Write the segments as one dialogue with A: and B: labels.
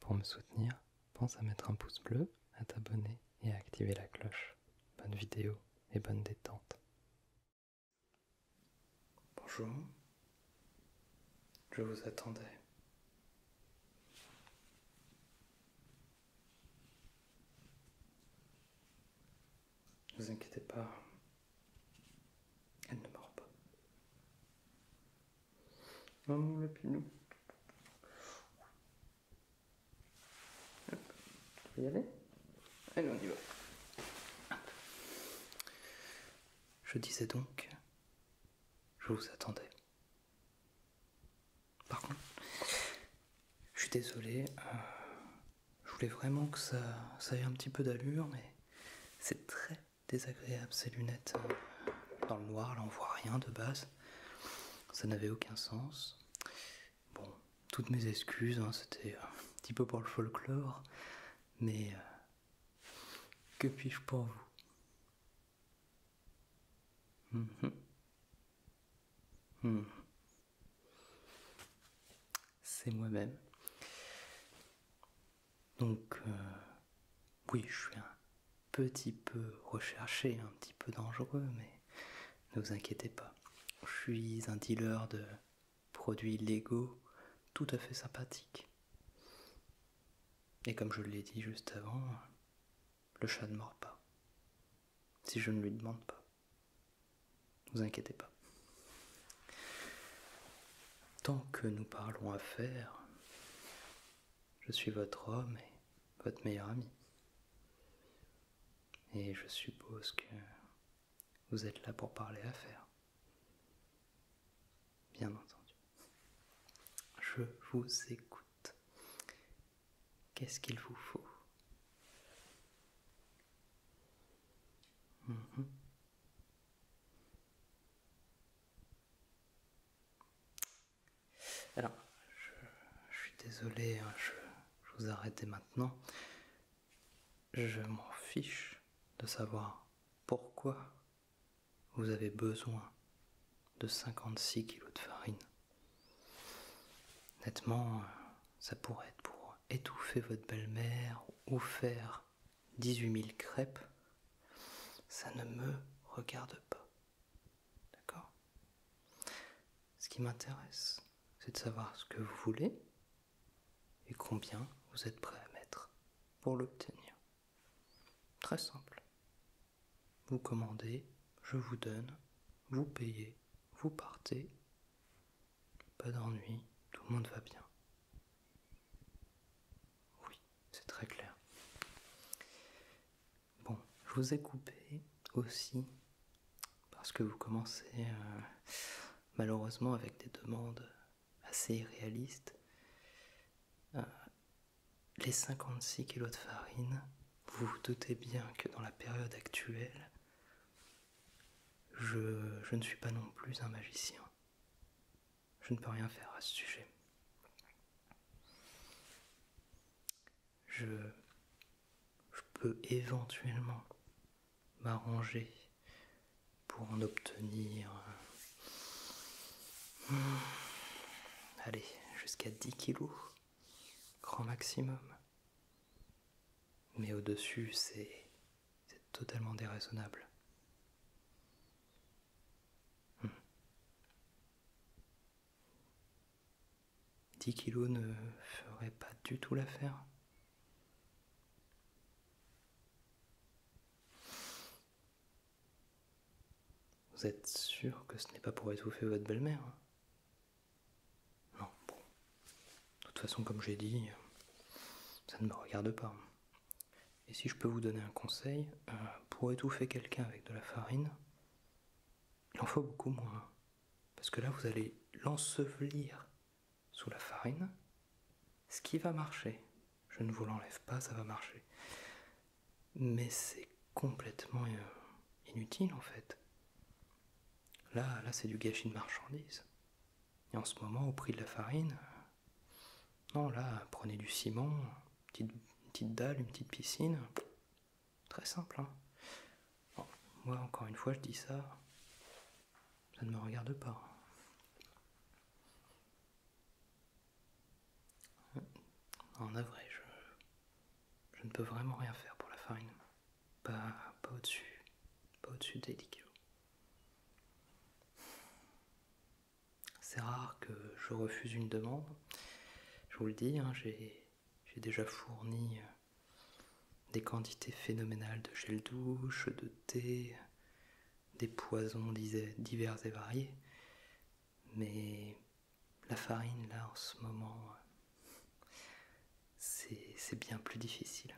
A: Pour me soutenir, pense à mettre un pouce bleu, à t'abonner et à activer la cloche. Bonne vidéo et bonne détente. Bonjour, je vous attendais. Ne vous inquiétez pas, elle ne meurt pas. Maman, la lapinou. Hop, y aller Allez, on y va. Je disais donc, je vous attendais. Par contre, Je suis désolé. Euh, je voulais vraiment que ça, ça ait un petit peu d'allure, mais c'est très désagréable ces lunettes. Euh, dans le noir, là on voit rien de base. Ça n'avait aucun sens. Bon, toutes mes excuses, hein, c'était un petit peu pour le folklore, mais euh, que puis-je pour vous Mhm. Mhm. C'est moi-même. Donc, euh, oui, je suis un petit peu recherché, un petit peu dangereux, mais ne vous inquiétez pas. Je suis un dealer de produits légaux tout à fait sympathique. Et comme je l'ai dit juste avant, le chat ne mord pas. Si je ne lui demande pas. Ne vous inquiétez pas. Tant que nous parlons affaires, je suis votre homme et votre meilleur ami. Et je suppose que vous êtes là pour parler affaires bien entendu. Je vous écoute. Qu'est-ce qu'il vous faut mhm. Alors, je, suis désolé, hein, je, vous arrête maintenant. Je m'en fiche de savoir pourquoi vous avez besoin de 56 kg de farine. Honnêtement, ça pourrait être pour étouffer votre belle-mère ou faire 18 000 crêpes. Ça ne me regarde pas. D'accord Ce qui m'intéresse, c'est de savoir ce que vous voulez et combien vous êtes prêt à mettre pour l'obtenir. Très simple. Vous commandez, je vous donne, vous payez, vous partez. Pas d'ennui, tout le monde va bien. Oui, c'est très clair. Bon, je vous ai coupé aussi parce que vous commencez euh, malheureusement avec des demandes assez irréaliste, euh, les 56 kilos de farine, vous vous doutez bien que dans la période actuelle, je, je ne suis pas non plus un magicien. Je ne peux rien faire à ce sujet. Je, je peux éventuellement m'arranger pour en obtenir, euh, allez, jusqu'à 10 kilos, grand maximum. Mais au-dessus, c'est totalement déraisonnable. 10 hmm. kilos ne ferait pas du tout l'affaire. Vous êtes sûr que ce n'est pas pour étouffer votre belle-mère hein Non, bon. De toute façon, comme j'ai dit, ça ne me regarde pas. Et si je peux vous donner un conseil, euh, pour étouffer quelqu'un avec de la farine, il en faut beaucoup moins. Parce que là, vous allez l'ensevelir sous la farine, ce qui va marcher je ne vous l'enlève pas, ça va marcher. Mais c'est complètement euh, inutile en fait. Là, là c'est du gâchis de marchandises. Et en ce moment, au prix de la farine, euh, non, là, prenez du ciment, une petite, dalle, une petite piscine. Très simple. Hein. moi, encore une fois, je dis ça, ça ne me regarde pas. En vrai, je, je ne peux vraiment rien faire pour la farine. Pas, pas au-dessus. Pas au-dessus C'est rare que je refuse une demande. Je vous le dis, hein, j'ai déjà fourni euh, des quantités phénoménales de gel douche, de thé, des poisons divers et variés. Mais la farine, là, en ce moment, c'est bien plus difficile.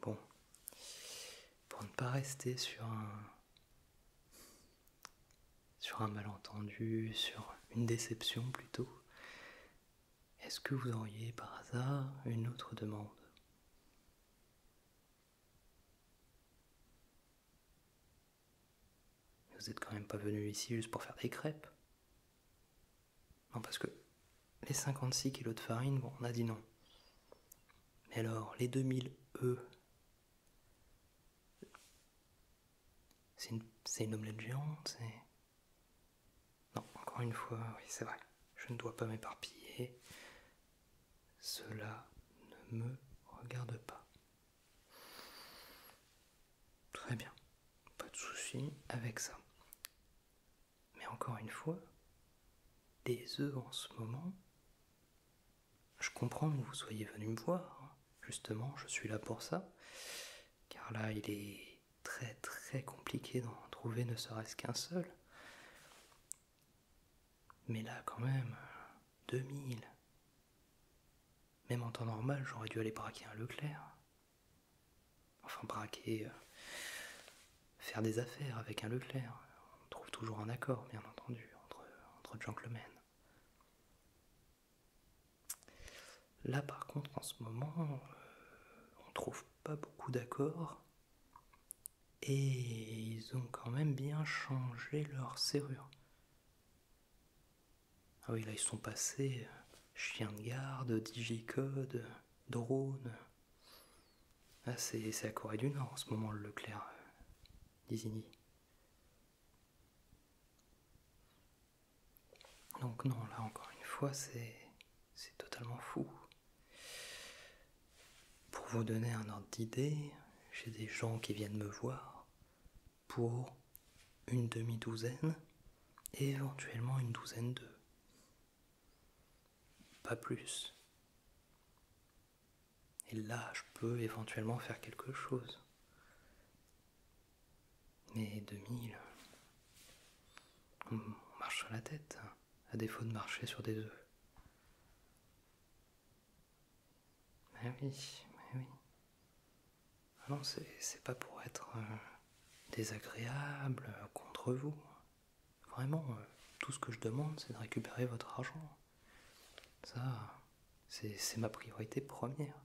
A: Bon, pour ne pas rester sur un sur un malentendu, sur une déception plutôt, est-ce que vous auriez par hasard une autre demande Vous n'êtes quand même pas venu ici juste pour faire des crêpes. Non, parce que les 56 kilos de farine, bon, on a dit non. Mais alors, les 2000 E, c'est une, une, omelette géante, c'est. Non, encore une fois, oui, c'est vrai. Je ne dois pas m'éparpiller. Cela ne me regarde pas. Très bien. Pas de souci avec ça. Mais encore une fois, des œufs en ce moment. Je comprends que vous soyez venu me voir. Justement, je suis là pour ça. Car là, il est très très compliqué d'en trouver ne serait-ce qu'un seul. Mais là quand même, 2000. Même en temps normal, j'aurais dû aller braquer un Leclerc. Enfin braquer, euh, faire des affaires avec un Leclerc. On trouve toujours un accord, bien entendu, entre, entre gentlemen. Là, par contre, en ce moment, euh, on trouve pas beaucoup d'accords. Et ils ont quand même bien changé leur serrure. Ah oui, là, ils sont passés euh, chien de garde, digicode, drone. Ah, c'est à Corée du Nord en ce moment, le Leclerc, euh, Disney. Donc non, là encore une fois, c'est totalement fou. Pour vous donner un ordre d'idée, j'ai des gens qui viennent me voir pour une demi-douzaine et éventuellement une douzaine d'eux. Pas plus. Et là, je peux éventuellement faire quelque chose. Mais 2000, on marche sur la tête, à défaut de marcher sur des œufs. Mais oui, mais oui. Ah non, c'est pas pour être euh, désagréable contre vous. Vraiment, euh, tout ce que je demande, c'est de récupérer votre argent. Ça, c'est ma priorité première.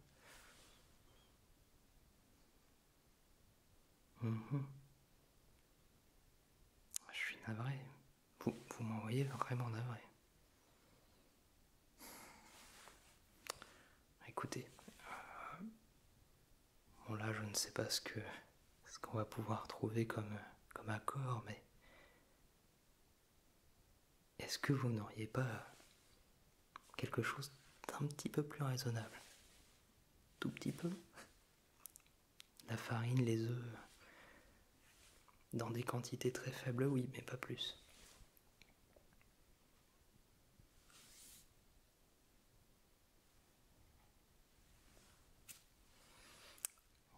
A: Mhm. Je suis navré. Vous, vous m'envoyez vraiment navré. Écoutez, euh, bon là je ne sais pas ce que ce qu'on va pouvoir trouver comme, comme accord, mais est-ce que vous n'auriez pas quelque chose d'un petit peu plus raisonnable. Tout petit peu. La farine, les œufs, dans des quantités très faibles, oui, mais pas plus.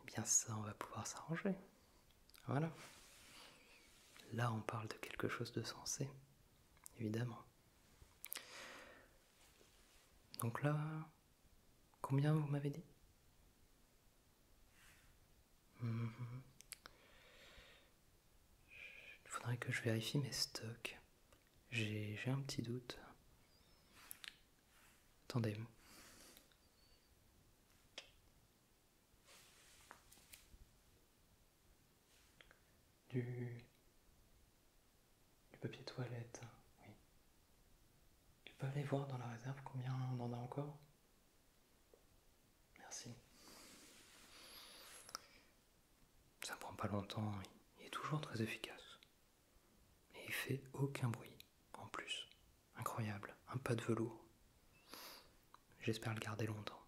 A: bien ça, on va pouvoir s'arranger. Voilà. Là, on parle de quelque chose de sensé, évidemment. Donc là, combien vous m'avez dit Il faudrait que je vérifie mes stocks. J'ai un petit doute. Attendez du, papier toilette, oui. Tu peux aller voir dans la réserve combien on en a encore Merci. Ça prend pas longtemps, il est toujours très efficace. Et il fait aucun bruit, en plus. Incroyable, un pas de velours. J'espère le garder longtemps.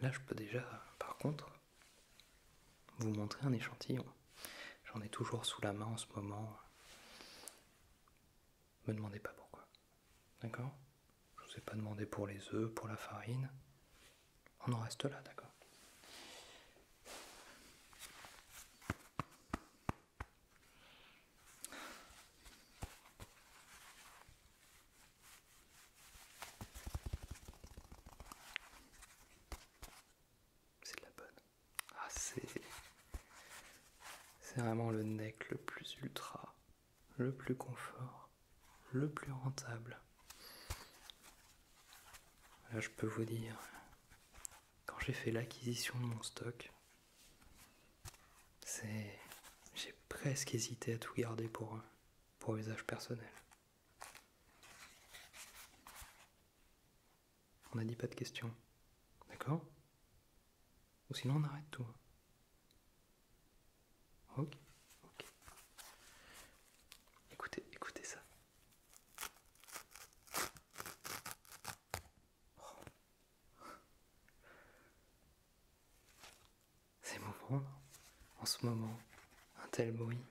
A: Là, je peux déjà, par contre, vous montrer un échantillon. J'en ai toujours sous la main en ce moment. Me demandez pas pourquoi. D'accord Je vous ai pas demandé pour les œufs, pour la farine. On en reste là, d'accord c'est la bonne. Ah, c'est. C'est vraiment le neck le plus ultra, le plus confort, le plus rentable. Là, je peux vous dire, quand j'ai fait l'acquisition de mon stock, c'est. J'ai presque hésité à tout garder pour, euh, pour usage personnel. On n'a dit pas de questions, d'accord Ou sinon on arrête tout. Hein. Ok, ok. Écoutez, écoutez ça. C'est mauvais, en ce moment, un tel bruit.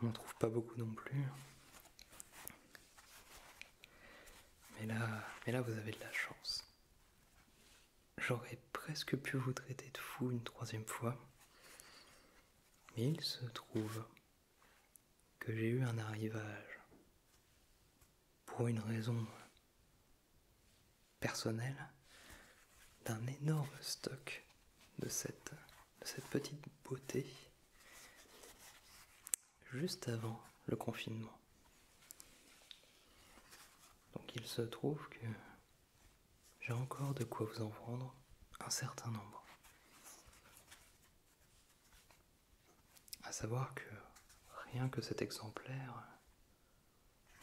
A: On n'en trouve pas beaucoup non plus. Mais là, mais là, vous avez de la chance. J'aurais presque pu vous traiter de fou une troisième fois. Mais il se trouve que j'ai eu un arrivage pour une raison personnelle d'un énorme stock de cette, petite beauté juste avant le confinement. Donc il se trouve que j'ai encore de quoi vous en prendre un certain nombre. À savoir que rien que cet exemplaire,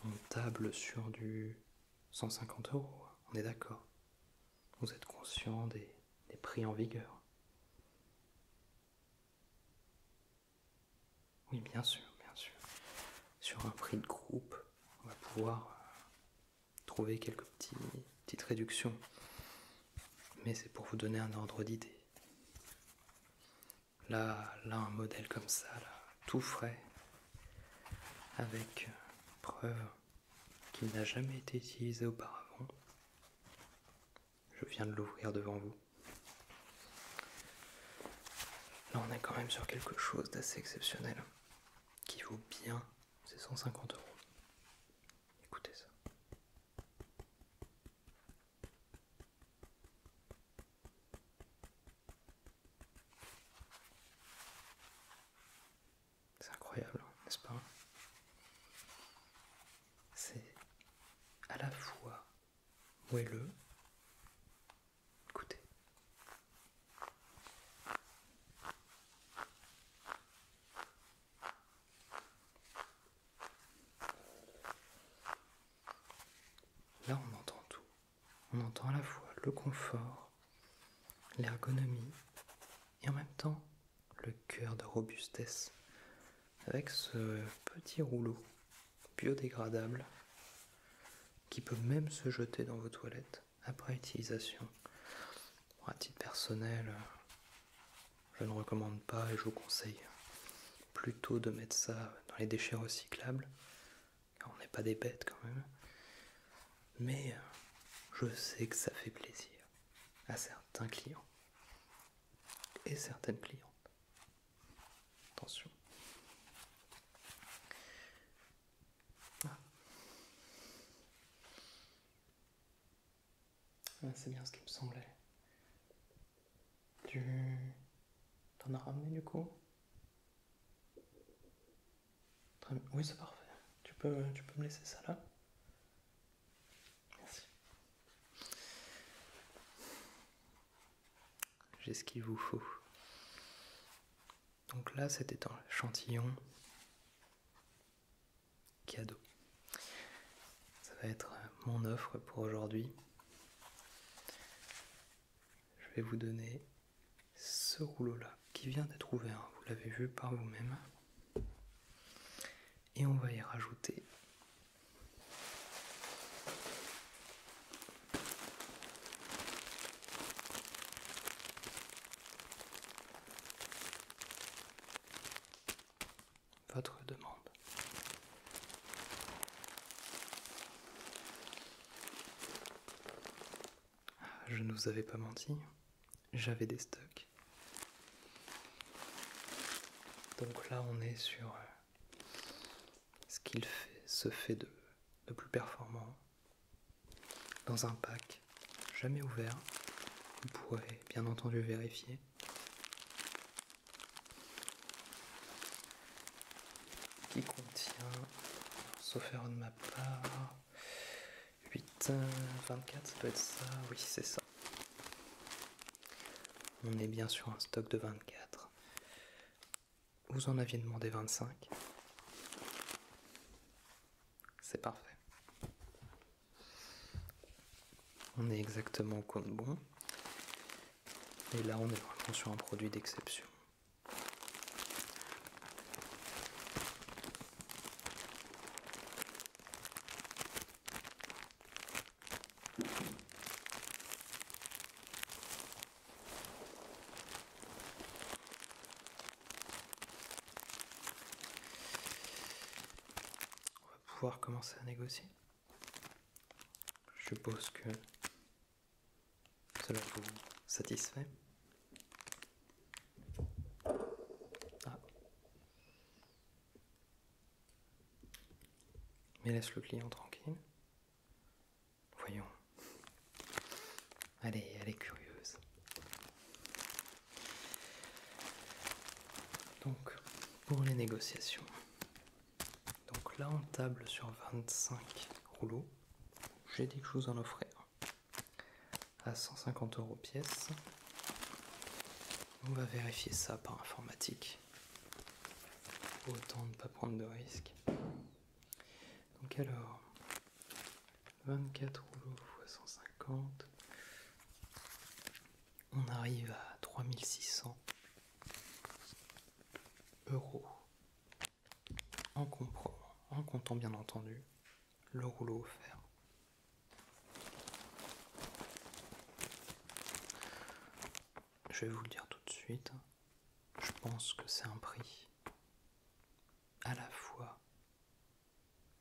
A: on table sur du 150 euros, on est d'accord. Vous êtes conscient des, prix en vigueur. Oui, bien sûr, bien sûr. Sur un prix de groupe, on va pouvoir euh, trouver quelques petites réductions. Mais c'est pour vous donner un ordre d'idée. Là, là, un modèle comme ça, tout frais, avec euh, preuve qu'il n'a jamais été utilisé auparavant. Je viens de l'ouvrir devant vous. Là, on est quand même sur quelque chose d'assez exceptionnel, hein, qui vaut bien ces 150 euros. Écoutez ça. C'est incroyable, n'est-ce pas C'est à la fois moelleux, écoutez, Là, on entend tout. On entend à la fois le confort, l'ergonomie et en même temps le cœur de robustesse avec ce petit rouleau biodégradable qui peut même se jeter dans vos toilettes après utilisation. à titre personnel, je ne recommande pas et je vous conseille plutôt de mettre ça dans les déchets recyclables. on n'est pas des bêtes quand même. Mais euh, je sais que ça fait plaisir à certains clients et certaines clientes. Attention. Ah c'est bien ce qui me semblait. Tu t'en as ramené du coup Oui, c'est parfait. Tu peux, tu peux me laisser ça là Merci. J'ai ce qu'il vous faut. Donc là, c'était un échantillon cadeau. Ça va être euh, mon offre pour aujourd'hui. Je vais vous donner ce rouleau-là qui vient d'être ouvert, vous l'avez vu par vous-même. Et on va y rajouter votre demande. Je ne vous avais pas menti, j'avais des stocks. Donc là on est sur euh, ce qu'il fait, se fait de, de plus performant dans un pack jamais ouvert. Vous pourrez bien entendu vérifier. Qui contient, sauf erreur de ma part, 8, 24, ça peut être ça, oui c'est ça. On est bien sur un stock de 24. Vous en aviez demandé 25. C'est parfait. On est exactement au compte bon. Et là, on est vraiment sur un produit d'exception on va pouvoir commencer à négocier. Je suppose que cela vous satisfait. Ah. Mais laisse le client tranquille. Voyons. Allez, elle est curieuse. Donc pour les négociations, donc là on table sur 25 rouleaux. J'ai dit que je vous en offrais à 150 euros pièce. On va vérifier ça par informatique. Autant ne pas prendre de risques. Donc alors, 24 rouleaux x 150. On arrive à 3600 euros. En, en comptant bien entendu le rouleau offert. Je vais vous le dire tout de suite, je pense que c'est un prix à la fois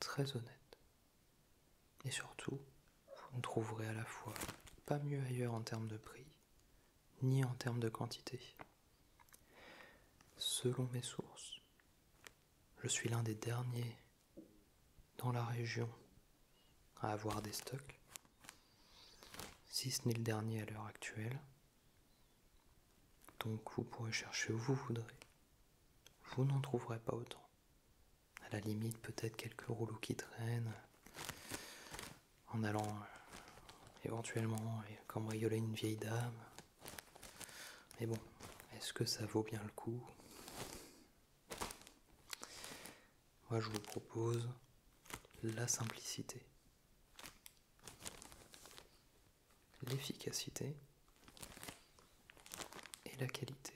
A: très honnête. Et surtout, vous ne trouverez à la fois pas mieux ailleurs en termes de prix, ni en termes de quantité. Selon mes sources, je suis l'un des derniers dans la région à avoir des stocks, si ce n'est le dernier à l'heure actuelle. Donc vous pourrez chercher où vous voudrez vous n'en trouverez pas autant. À la limite, peut-être quelques rouleaux qui traînent en allant euh, éventuellement euh, cambrioler une vieille dame. Mais bon, est-ce que ça vaut bien le coup Moi, je vous propose la simplicité l'efficacité et la qualité.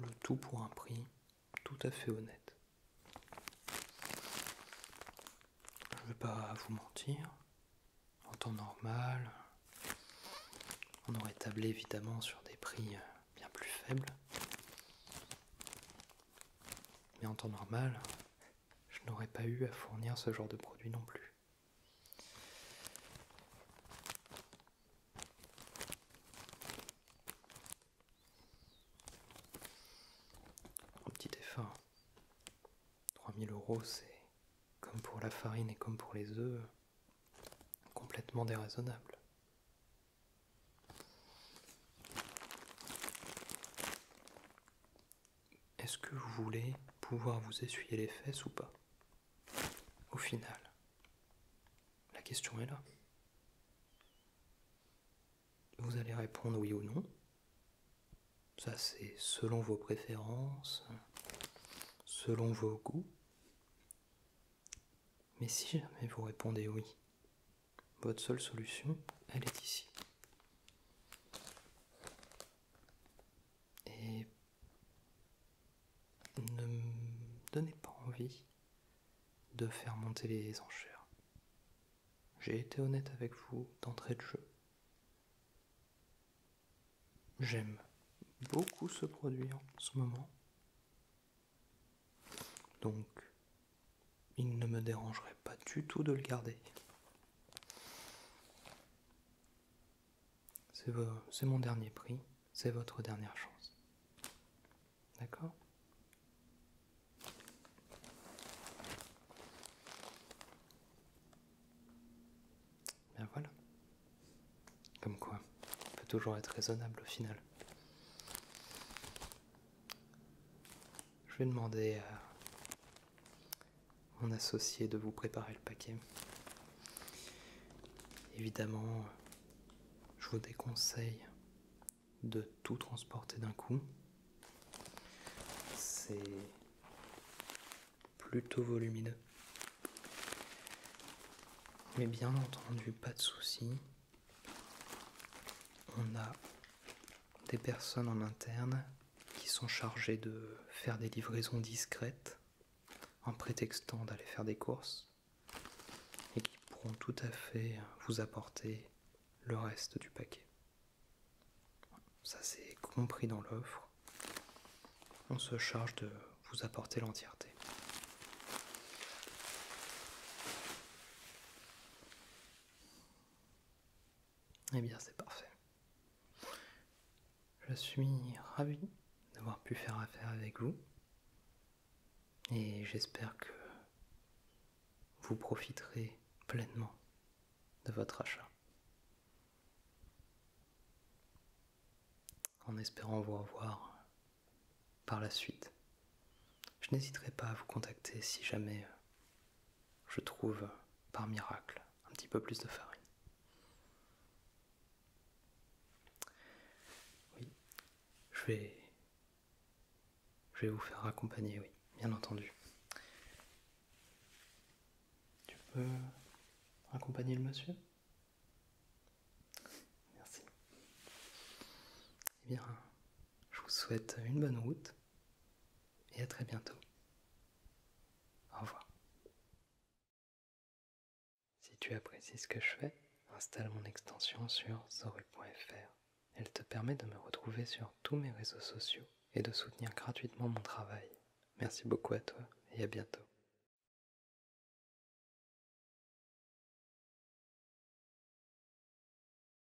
A: Le tout pour un prix tout à fait honnête. Je ne vais pas vous mentir, en temps normal, on aurait tablé évidemment sur des prix bien plus faibles. Mais en temps normal, je n'aurais pas eu à fournir ce genre de produit non plus. Un petit effort. 3000 euros, c'est comme pour la farine et comme pour les œufs, complètement déraisonnable est-ce que vous voulez pouvoir vous essuyer les fesses ou pas Au final, la question est là. Vous allez répondre oui ou non. Ça c'est selon vos préférences, selon vos goûts. Mais si jamais vous répondez oui, votre seule solution, elle est ici. Et ne me donnez pas envie de faire monter les enchères. J'ai été honnête avec vous d'entrée de jeu. J'aime beaucoup ce produit en ce moment. Donc, il ne me dérangerait pas du tout de le garder. C'est mon dernier prix, c'est votre dernière chance. D'accord voilà. Comme quoi, on peut toujours être raisonnable au final. Je vais demander à mon associé de vous préparer le paquet. Évidemment, je vous déconseille de tout transporter d'un coup. C'est plutôt volumineux. Mais bien entendu, pas de souci. On a des personnes en interne qui sont chargés de faire des livraisons discrètes en prétextant d'aller faire des courses et qui pourront tout à fait vous apporter le reste du paquet. Ça c'est compris dans l'offre. On se charge de vous apporter l'entièreté. Eh bien, c'est parfait. Je suis ravi d'avoir pu faire affaire avec vous. Et j'espère que vous profiterez pleinement de votre achat. En espérant vous revoir par la suite. Je n'hésiterai pas à vous contacter si jamais euh, je trouve par miracle un petit peu plus de farine. Oui, je vais, je vais vous faire accompagner, oui, bien entendu. Tu peux accompagner le monsieur Merci. Eh bien, je vous souhaite une bonne route et à très bientôt. Au revoir. Si tu apprécies ce que je fais, installe mon extension sur zoru.fr. Elle te permet de me retrouver sur tous mes réseaux sociaux et de soutenir gratuitement mon travail. Merci beaucoup à toi et à bientôt.